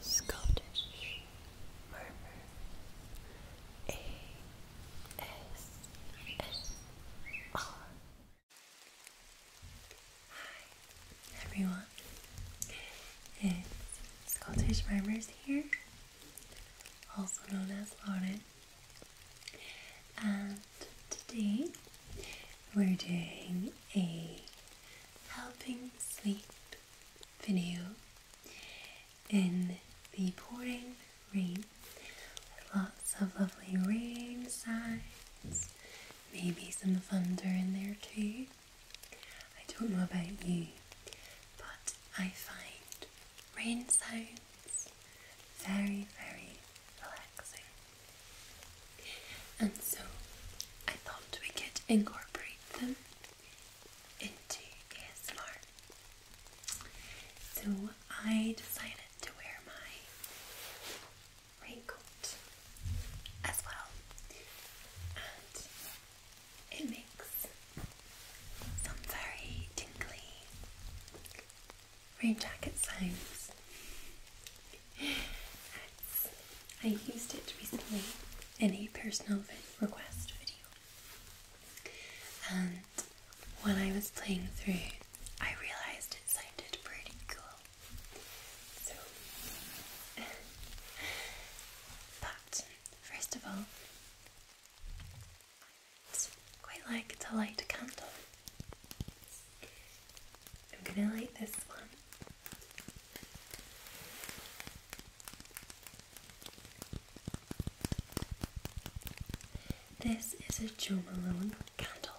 Scottish Murmur Hi everyone It's Scottish Murmurs here also known as Lauren and today we're doing a helping sleep video in the pouring rain with lots of lovely rain sounds, maybe some thunder in there too. I don't know about you, but I find rain sounds very, very relaxing. And so I thought we could incorporate them into ASMR. So I decided to wear my raincoat as well, and it makes some very tingly rain jacket sounds. I used it recently in a personal request video. And when I was playing through, I realised it sounded pretty cool. So, but first of all, i quite like to light a candle. I'm gonna light this one this is a Jo Malone candle.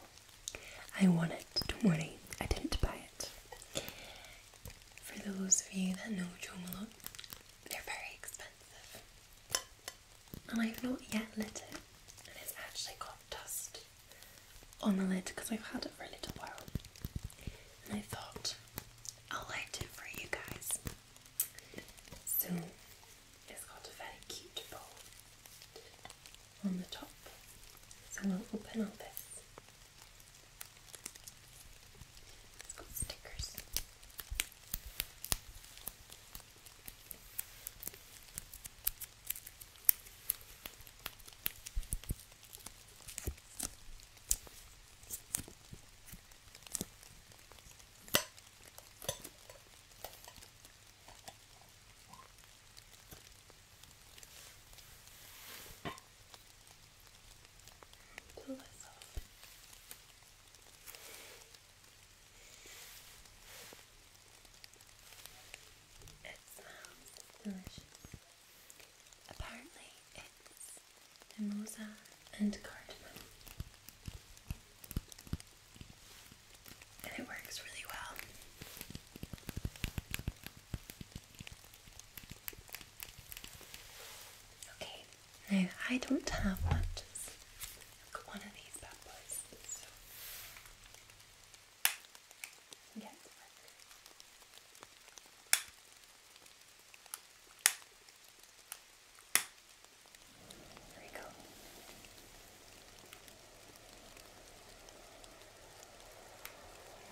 I wanted it, do I didn't buy it. For those of you that know Jo Malone, they're very expensive. And I've not yet lit it, and it's actually got dust on the lid because I've had it for a little while and I thought I'll light it for you guys. So it's got a very cute bow on the top. So we'll open up this. It's got stickers. Pull this off. It sounds delicious. Apparently, it's mimosa and cardamom. And it works really well. Okay, now I don't have much. I've got one of these bad boys, and get to work. There we go.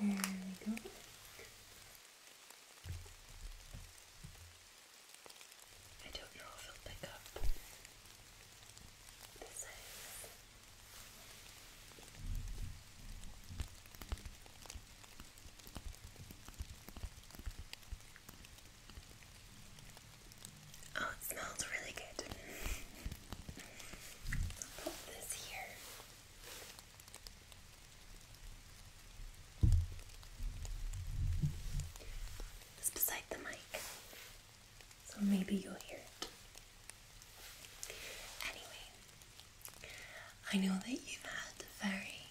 There we go. I don't know if it'll pick up the size. Oh, it smells really good. put this here. It's beside the mic, so maybe you'll hear it. Anyway, I know that you've had a very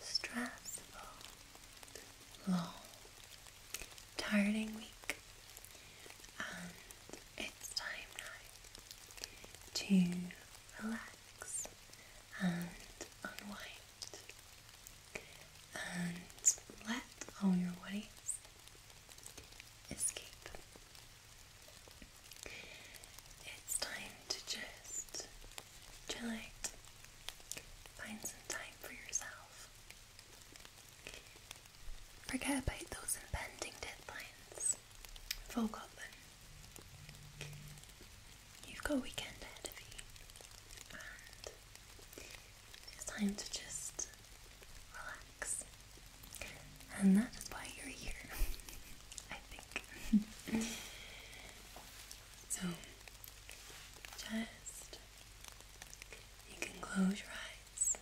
stressful, long, tiring week, and it's time now to relax and unwind and let all your worries escape. It's time to just chill out, find some time for yourself. Forget about those impending deadlines. Forget them. You've got a weekend ahead of you, and it's time to just relax. And that's why you're here, I think. so, just you can close your eyes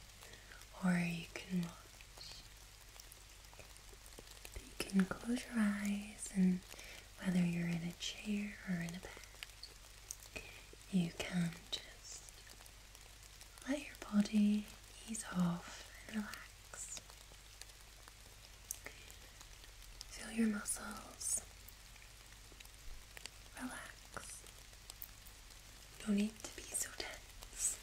or you can watch. you can close your eyes, and whether you're in a chair or in a bed, you can just let your body ease off and relax. Feel your muscles relax. No need to be so tense.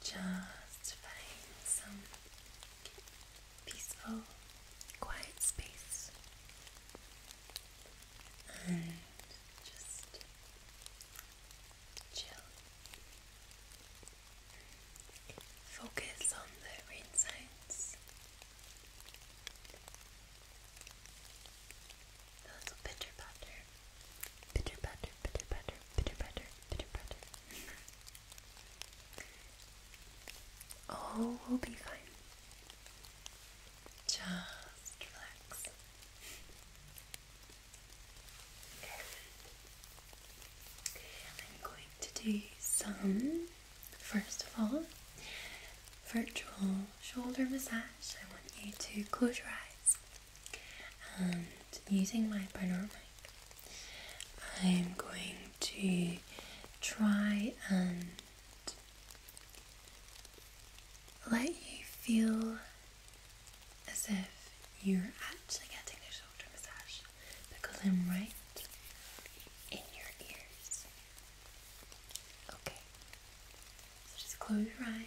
Just find some peaceful, quiet space and just Chill. Focus on the rain sounds. The little pitter patter. Pitter patter, pitter patter, pitter patter, pitter patter. All will be fine. Just relax. I'm going to do some, first of all, virtual shoulder massage. I want you to close your eyes and using my panoramic, I'm going to try and let you feel as if you're actually getting a shoulder massage because I'm right in your ears. Okay, just close your eyes.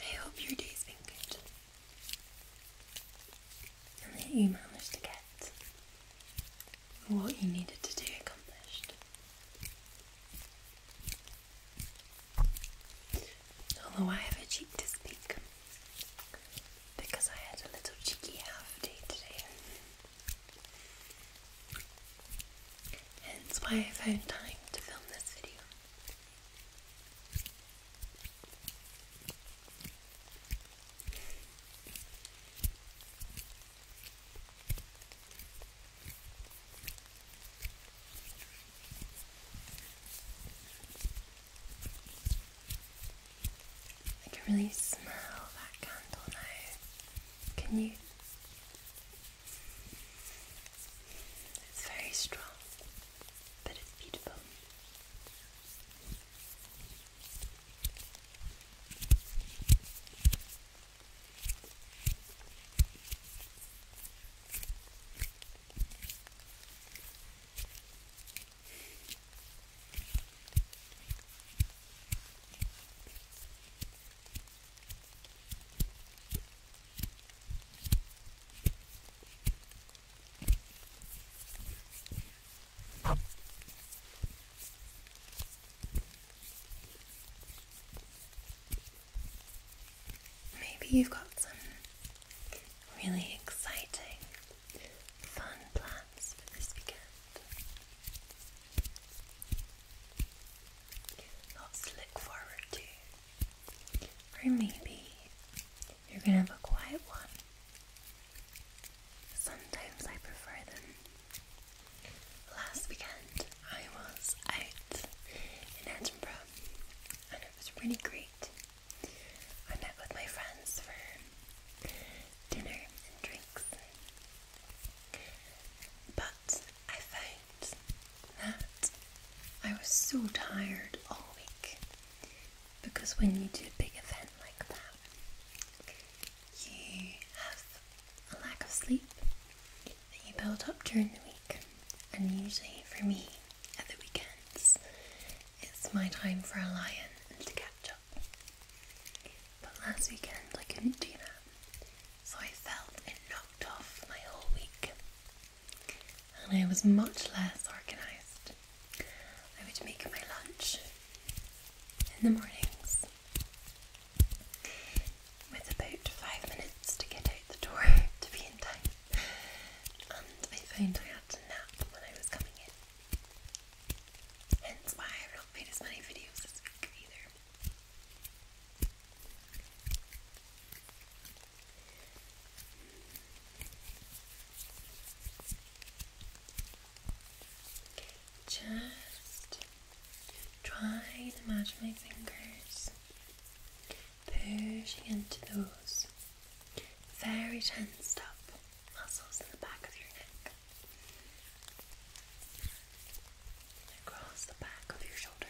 I hope your day's been good. And that you managed to get what you needed to do accomplished. Although I have a cheek to speak because I had a little cheeky half day today. Hence why I found time to film this video. I can really smell that candle now. Can you it's very strong, but it's beautiful. Maybe you've got some really exciting, fun plans for this weekend. Lots to look forward to. Or maybe you're gonna have a quiet one. Sometimes I prefer them. Last weekend I was out in Edinburgh and it was really great. I met with my friends for dinner and drinks. But I found that I was so tired all week because when you do a big event like that, you have a lack of sleep that you build up during the week, and usually for me at the weekends, it's my time for a lion and to catch up. But last weekend I couldn't do that, so I felt it knocked off my whole week and I was much less organised. I would make my lunch in the mornings with about five minutes to get out the door to be in time, and I found I had to nap when I was coming in. Hence why I've not made as many videos this week either. Just try to match my fingers, pushing into those very tensed up muscles in the back of your neck, across the back of your shoulder.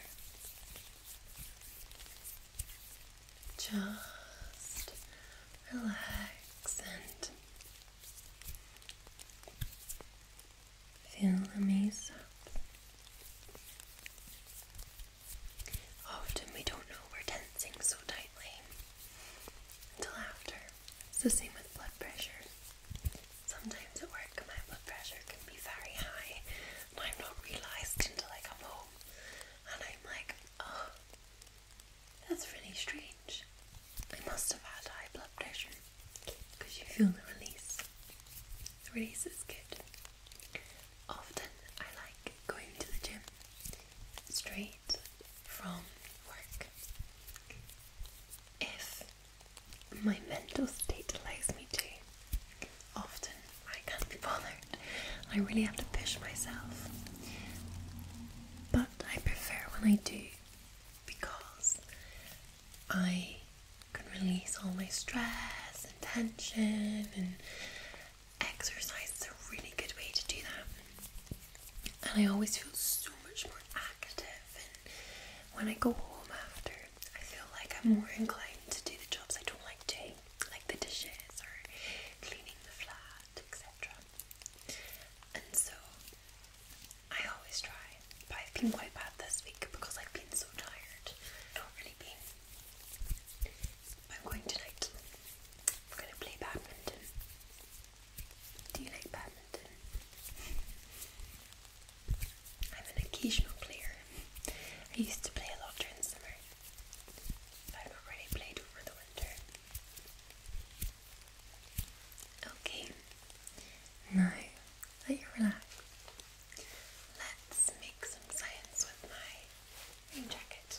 Just relax and feel the maze up. Often we don't know we're tensing so tightly until after. It's the same with blood pressure. Sometimes at work, my blood pressure can be very high, I've not realised until I come home and I'm like, oh, that's really strange. I must have had high blood pressure because you feel the release. The release is good. Often I like going to the gym straight from work. If my mental state allows me to. Often I can't be bothered. I really have to push myself. But I prefer when I do because I can release all my stress and tension and exercise is a really good way to do that. And I always feel so much more active when I go home after I feel like I'm more mm. inclined to do the jobs I don't like doing, like the dishes or cleaning the flat, etc. And so I always try, but I've been quite bad this week because I've been so tired. Not really I'm going tonight. I'm going to play badminton. Do you like badminton? I'm an occasional player. I used to play a lot during summer. I've not played over the winter. Okay, now let you relax. let's make some science with my rain jacket.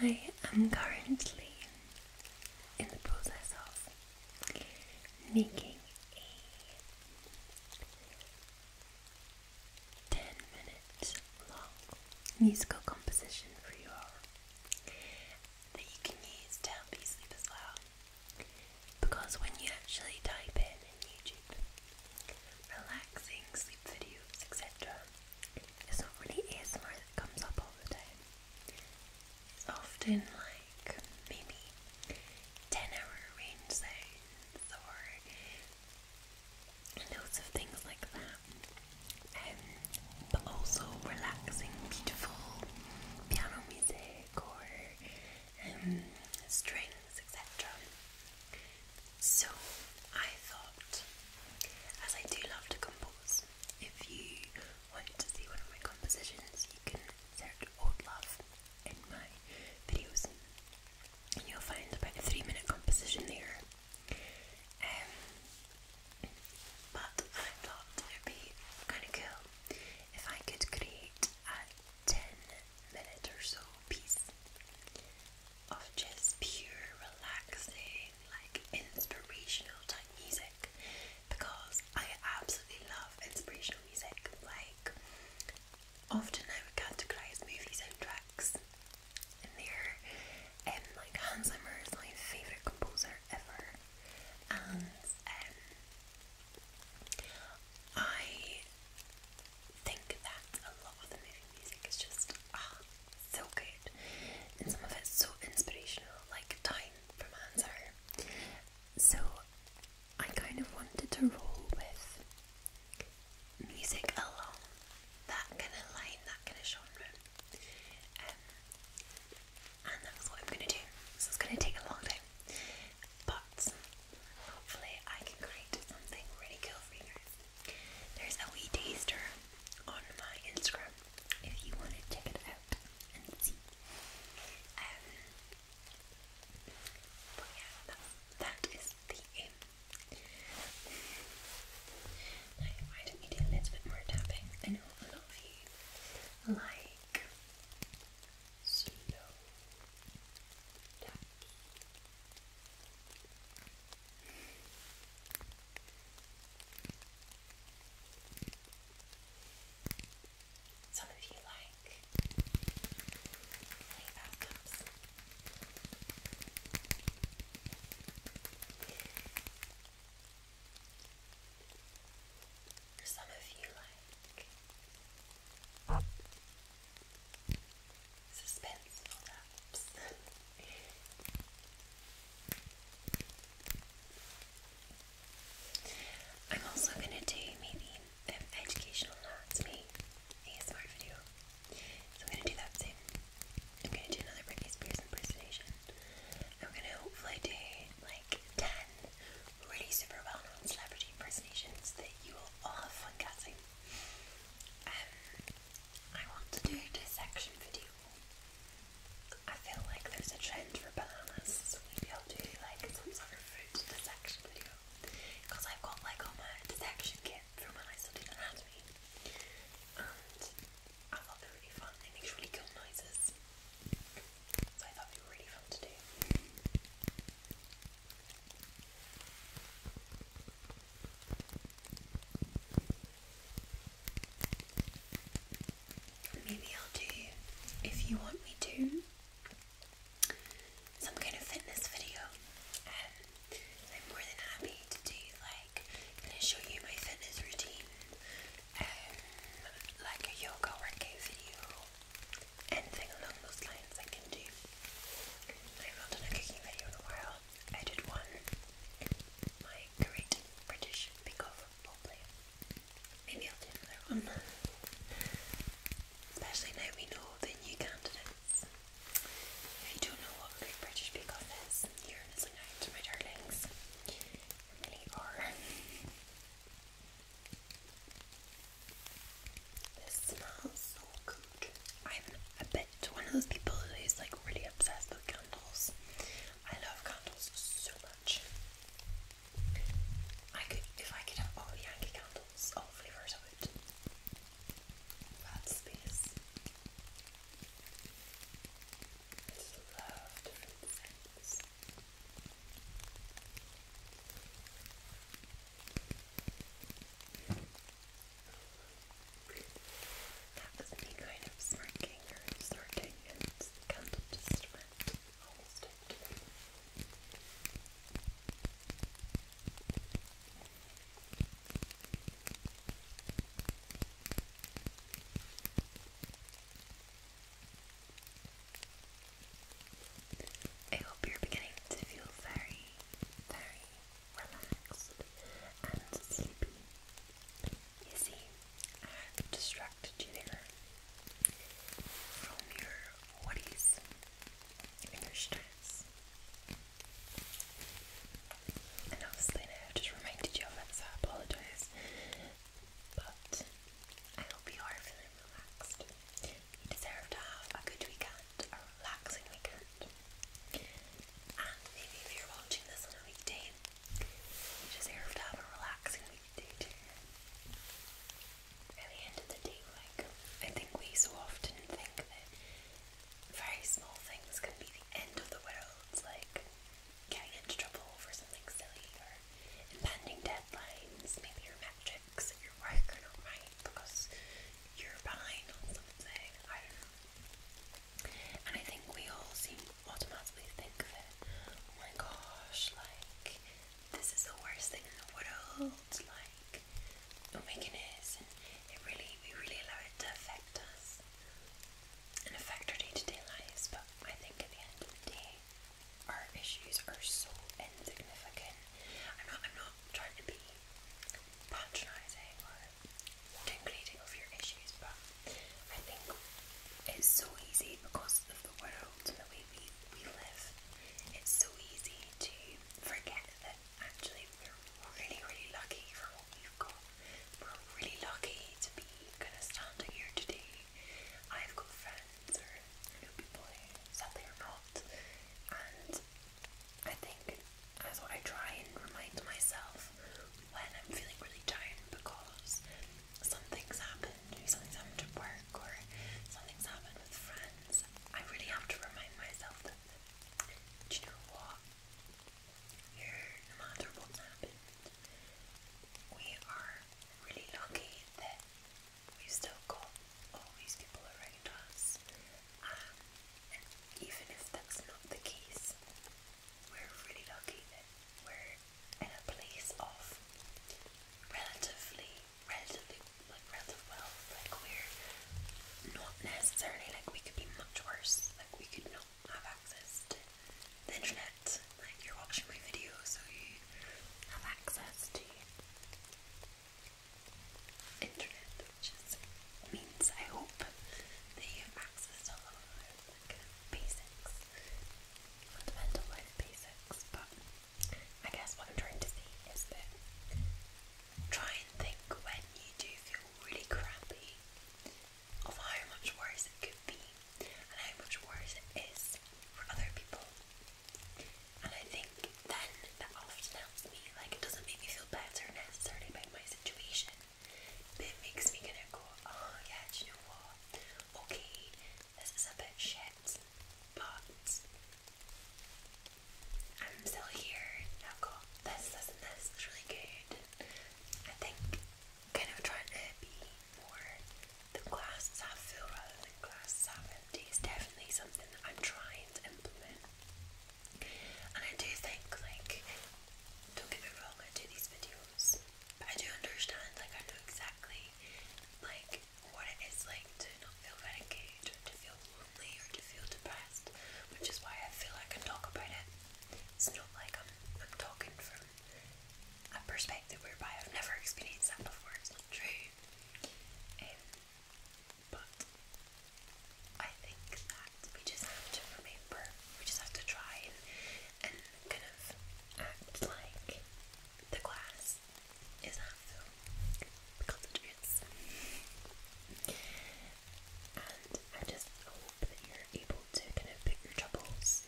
I am currently in the process of making a 10 minute long musical composition for you all that you can use to help you sleep as well. Because when you actually type in YouTube relaxing sleep videos, etc., it's not really ASMR that comes up all the time. It's often like maybe 10 hour range sounds or loads of things like that. Um, but also relaxing, beautiful piano music or um, strings, etc. So I thought, as I do love to compose, if you want to see one of my compositions, you can search Old Love in my videos and you'll find about a three minute composition there. Um, but I thought it would be kind of cool if I could create a 10 minute or so piece of just pure relaxing like inspirational type music because I absolutely love inspirational music. Like, often I would categorize movie soundtracks in there, and um, like Hans Zimmer is my favourite composer ever, and um, I think that a lot of the movie music is just so good, and some of it's so inspirational, like Time from Answer. So I kind of wanted to roll with music along that kind of line, that kind of genre. Um, and that's what I'm going to do. So it's going to take a long time. But hopefully, I can create something really cool for you guys. There's a wee taster on my Instagram if you want to check it out and see. Um, but yeah, that's, that is the aim. Now, why don't do a little bit more tapping? I know a lot of you like slow taps. Some of you like mini some of you like suspenseful taps. I'm also gonna do maybe an educational anatomy ASMR video. So I'm gonna do that soon. I'm gonna do another Britney Spears impersonation. I'm gonna hopefully do like 10 really super well known celebrity impersonations that you all have fun guessing. Um, I want to do a dissection video. I feel like there's a trend for bananas, so maybe I'll do like some sort of fruit dissection video. Because I've got like all my dissection kit from when I studied anatomy. And I thought they were really fun, they make really cool noises. So I thought they were really fun to do. Maybe I'll do, if you want me to, some kind of fitness video. I'm more than happy to do like, gonna show you my fitness routine, um, like a yoga workout video, anything along those lines I can do. I've not done a cooking video in a while, I did one my Great British Bake Off roleplay. Maybe I'll do another one. Especially now we know the new candidates. If you don't know what Great British Bake is, you're missing out, my darlings. You are. This smells so good. I'm a bit one of those people who's like really obsessed with candles. I love candles so much. I could, if I could have all the Yankee candles, all flavours, I would. That space. I just love different scents. That was me kind of smirking or snarking, and the just went I hope you're beginning to feel very, very relaxed and sleepy. You see, I have you there from your worries and your stress. And obviously now I just reminded you of that. so I apologise. But I hope you are feeling relaxed. You deserve to have a good weekend, a relaxing weekend. And maybe if you're watching this on a weekday, you deserve to have a relaxing weekday At the end of the day, like I think we so often think that very small things can be the end of the world, like getting into trouble for something silly or impending deadlines, maybe your metrics at your work are not because you're behind on something. I don't know. And I think we all seem automatically think that, oh my gosh, like this is the worst thing in the world, like oh my goodness, and it really we really allow it to affect us and affect our day-to-day lives, but I think at the end of the day our issues are so insignificant. I'm not I'm not trying to be patronizing concluding of your issues, but I think it's so easy because of the world and the way we, we live, it's so easy to forget that actually we're really, really lucky for what we've got. We're really lucky to be kind of standing here today. I've got friends or know, people sadly are not, and I think that's what I try and remind myself when I'm feeling really tired because something's happened, maybe something's happened at work or something's happened with friends. I really have to remind myself that, you know what? no matter what's happened, we are really lucky that we've still got all these people around us. Um, and even if that's not the case, we're really lucky that we're in a place of relatively, relatively, like relative wealth. Like we're not necessarily like we could be much worse. Like we could not have access to the internet. Like you're watching my video, so you have access to internet, which is means I hope that you have access to a basics, fundamental life basics. But I guess what I'm trying to see is that try and think when you do feel really crappy of how much worse it could be and how much worse it is for other people. And I think then that often helps me. Like it doesn't make me feel better necessarily about my situation, but it makes me kind of go, oh yeah, you know what? Okay, this is a bit shit, but I'm still here and I've this, this and this, it's really good. I think kind of trying to be more the glasses half full rather than glass half empty is definitely something that I'm trying to implement. And I do think like don't get me wrong, I do these videos, I do understand, like I know exactly like what it is like to not feel very to feel lonely or to feel depressed, which is why I feel I can talk about it. It's not like I'm I'm talking from a perspective whereby I've never experienced that before, it's not true. Um, but I think that we just have to remember. We just have to try and, and kind of act like the glass is half full because it is. And just hope that you're able to kind of put your troubles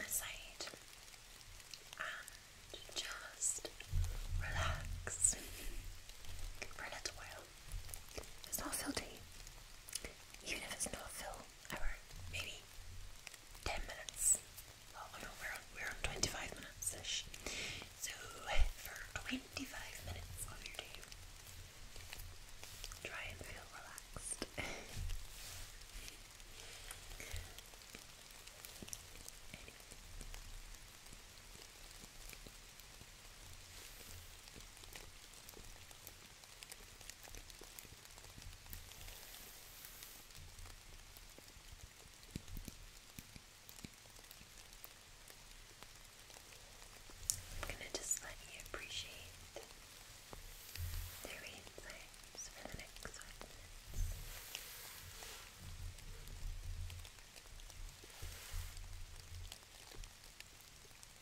aside and just relax for a little while. It's not filthy even if it's not full hour, maybe 10 minutes. Oh well, no, we're on, we're on 25 minutes So, for 25 minutes of your day, try and feel relaxed. I'm going to just let you appreciate the insights for the next five minutes.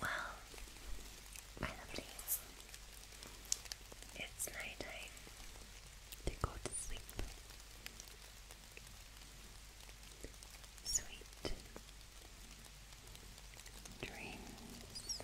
Well, my lovelies, it's night time to go to sleep. Sweet dreams.